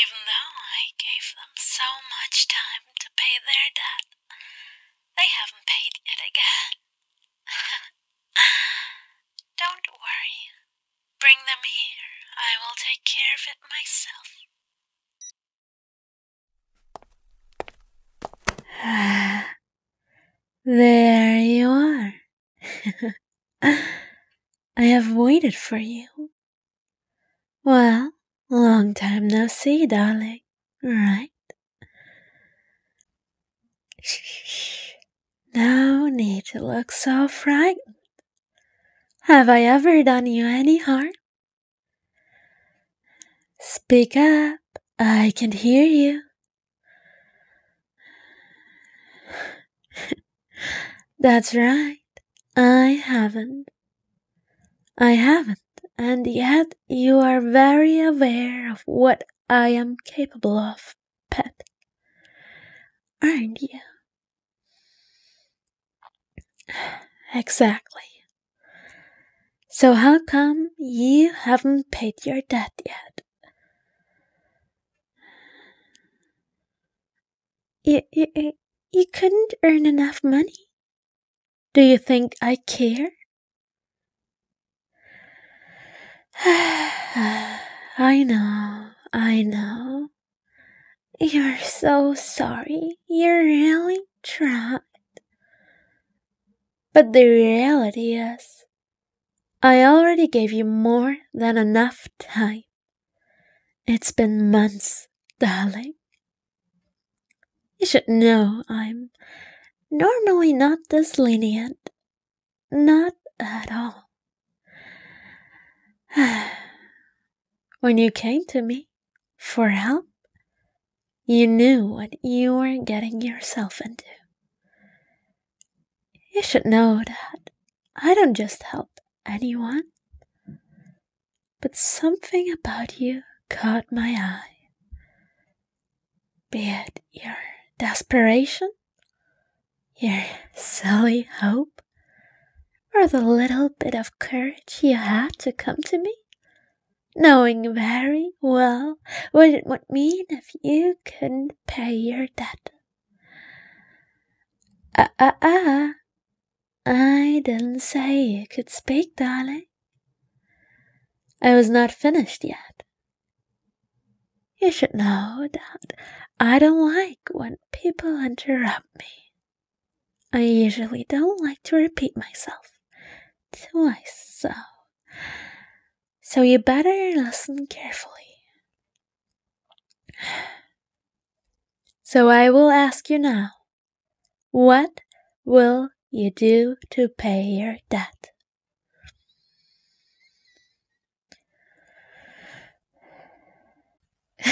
even though I gave them so much time to pay their debt. They haven't paid yet again. Don't worry. Bring them here. I will take care of it myself. there you are. I have waited for you. Well, long time no see, darling, right? No need to look so frightened. Have I ever done you any harm? Speak up, I can hear you. That's right. I haven't. I haven't, and yet you are very aware of what I am capable of, pet. Aren't you? Exactly. So, how come you haven't paid your debt yet? You, you, you couldn't earn enough money. Do you think I care? I know, I know. You're so sorry. You really tried. But the reality is, I already gave you more than enough time. It's been months, darling. You should know I'm normally not this lenient. Not at all. when you came to me for help, you knew what you were getting yourself into. You should know that I don't just help, anyone, but something about you caught my eye. Be it your desperation, your silly hope, or the little bit of courage you had to come to me, knowing very well what it would mean if you couldn't pay your debt. Ah, ah, ah. I didn't say you could speak, darling. I was not finished yet. You should know that I don't like when people interrupt me. I usually don't like to repeat myself twice, so. So you better listen carefully. So I will ask you now, what will you do to pay your debt?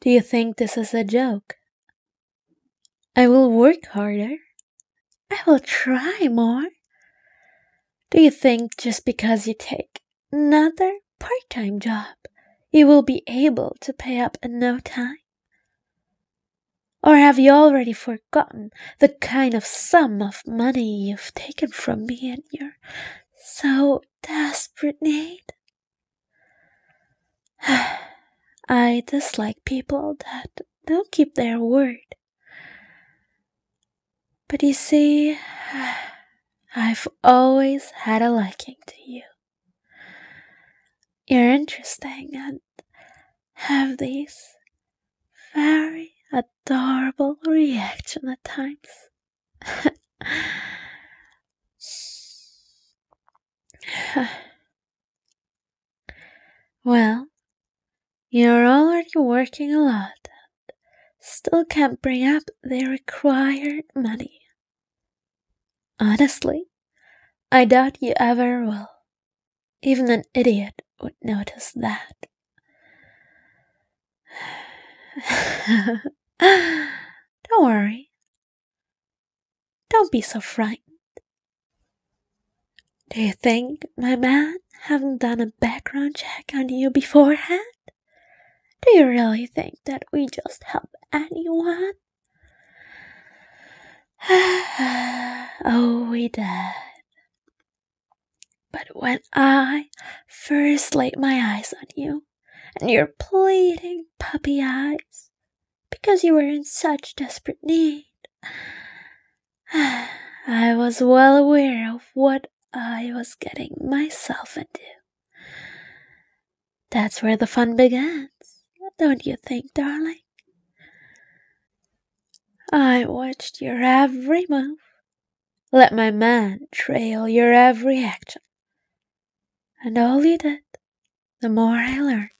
do you think this is a joke? I will work harder. I will try more. Do you think just because you take another part time job, you will be able to pay up in no time? Or have you already forgotten the kind of sum of money you've taken from me in your so desperate need? I dislike people that don't keep their word. But you see, I've always had a liking to you. You're interesting and have these very adorable reaction at times. well, you're already working a lot and still can't bring up the required money. Honestly, I doubt you ever will. Even an idiot would notice that. Don't worry. Don't be so frightened. Do you think, my man, haven't done a background check on you beforehand? Do you really think that we just help anyone? oh, we did. But when I first laid my eyes on you, and your pleading puppy eyes, because you were in such desperate need, I was well aware of what I was getting myself into. That's where the fun begins, don't you think, darling? I watched your every move, let my man trail your every action. And all you did, the more I learned.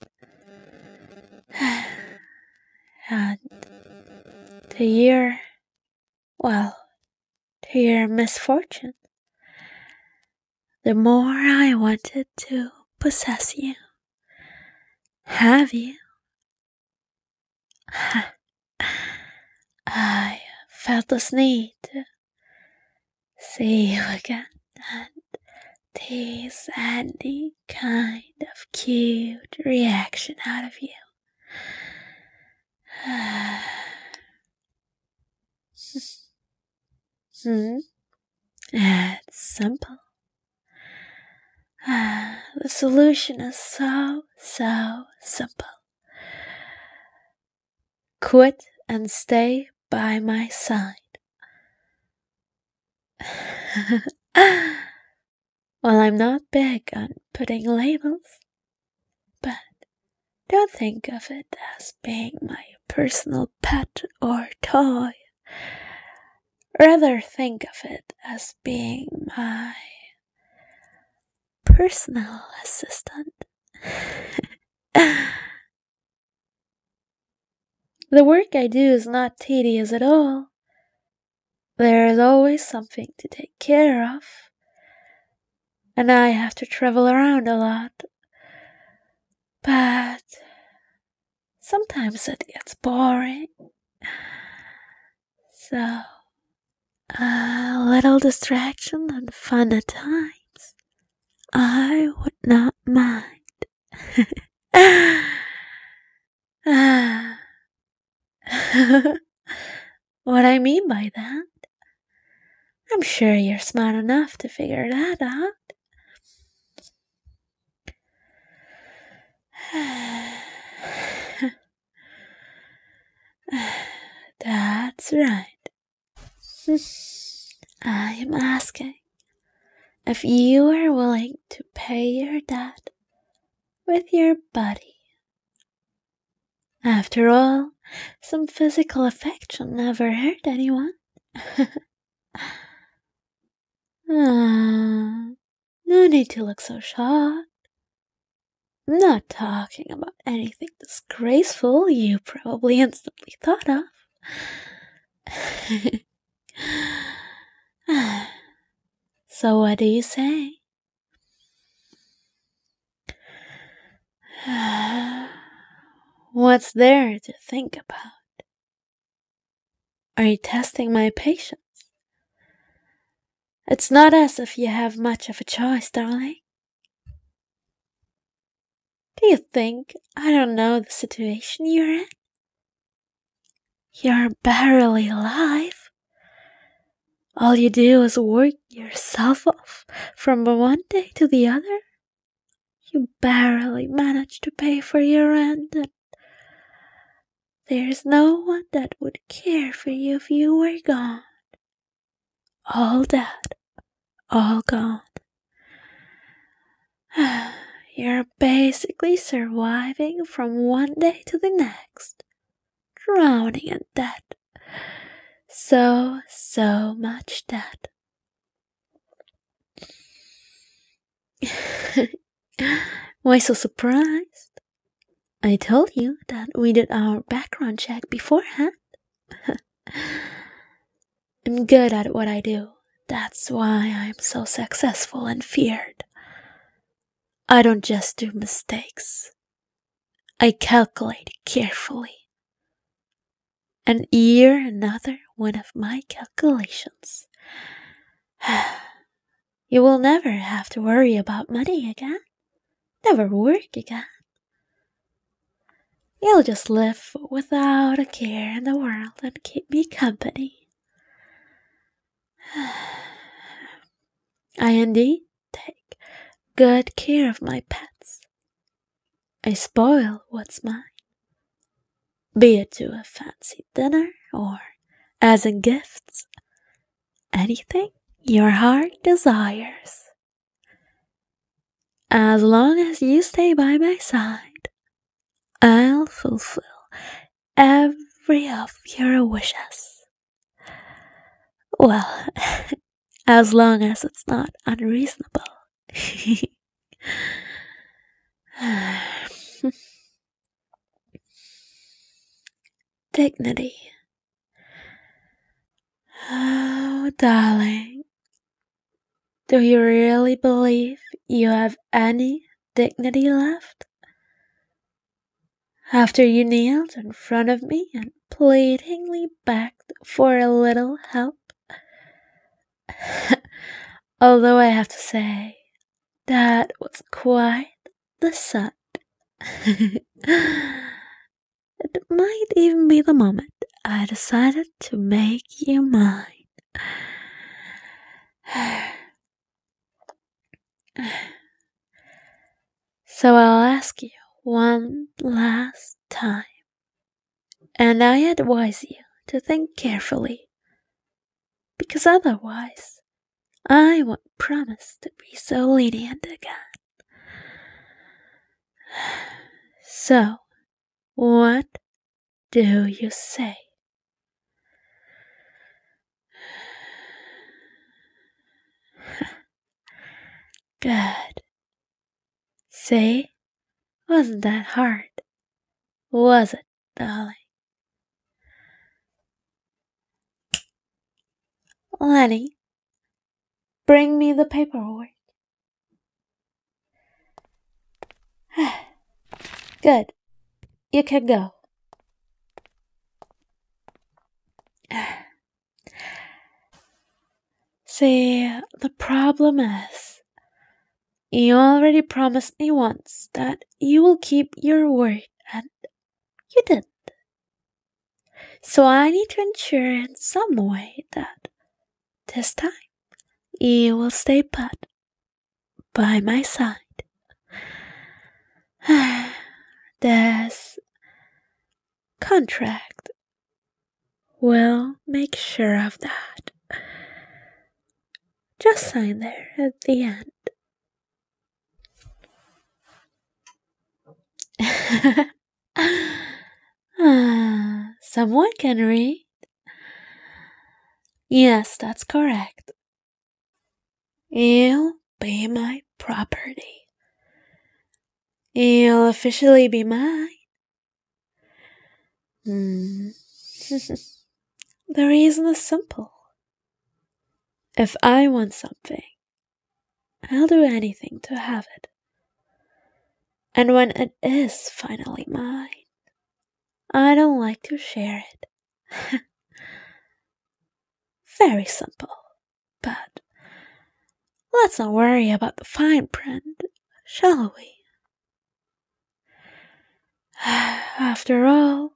and the year well, to your misfortune, the more I wanted to possess you, have you. I felt this need to see you again and this any kind of cute reaction out of you hmm. It's simple. The solution is so, so simple. Quit and stay by my side. Well, I'm not big on putting labels, but don't think of it as being my personal pet or toy. Rather, think of it as being my personal assistant. the work I do is not tedious at all. There is always something to take care of. And I have to travel around a lot. But sometimes it gets boring. So, a little distraction and fun at times, I would not mind. Ah. what I mean by that? I'm sure you're smart enough to figure that out. That's right. I am asking if you are willing to pay your debt with your body after all, some physical affection never hurt anyone. ah, no need to look so shocked. I'm not talking about anything disgraceful you probably instantly thought of. Ah, so, what do you say? What's there to think about? Are you testing my patience? It's not as if you have much of a choice, darling. Do you think I don't know the situation you're in? You're barely alive. All you do is work yourself off from one day to the other. You barely manage to pay for your rent, and there's no one that would care for you if you were gone. All dead, all gone. You're basically surviving from one day to the next drowning in debt. So, so much debt. Why so surprised? I told you that we did our background check beforehand. I'm good at what I do. That's why I'm so successful and feared. I don't just do mistakes. I calculated carefully and here another one of my calculations. you will never have to worry about money again, never work again. You'll just live without a care in the world and keep me company. Andy. take good care of my pets. I spoil what's mine, be it to a fancy dinner or as in gifts, anything your heart desires. As long as you stay by my side, I'll fulfill every of your wishes. Well, as long as it's not unreasonable. Dignity. Oh, darling. Do you really believe you have any dignity left? After you knelt in front of me and pleadingly begged for a little help. Although I have to say, that was quite the sight. it might even be the moment I decided to make you mine. So I'll ask you one last time, and I advise you to think carefully, because otherwise I won't promise to be so lenient again. So, what do you say? Good. See? Wasn't that hard? Was it, Dolly? Lenny, bring me the paperwork. Good. You can go. See, the problem is, you already promised me once that you will keep your word, and you didn't. So I need to ensure in some way that this time you will stay put by my side. this contract will make sure of that. Just sign there at the end. someone can read. Yes, that's correct. You be my property. You'll officially be mine. Hmm. the reason is simple. If I want something, I'll do anything to have it. And when it is finally mine, I don't like to share it. Very simple. But let's not worry about the fine print, shall we? After all,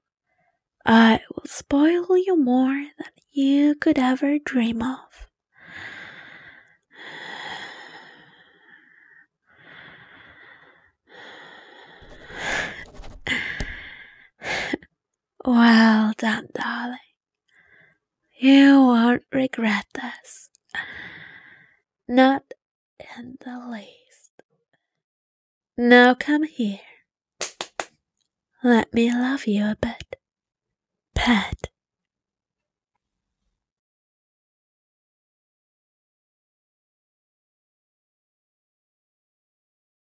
I will spoil you more than you could ever dream of. Well done, darling. You won't regret this. Not in the least. Now come here. Let me love you a bit. Pet.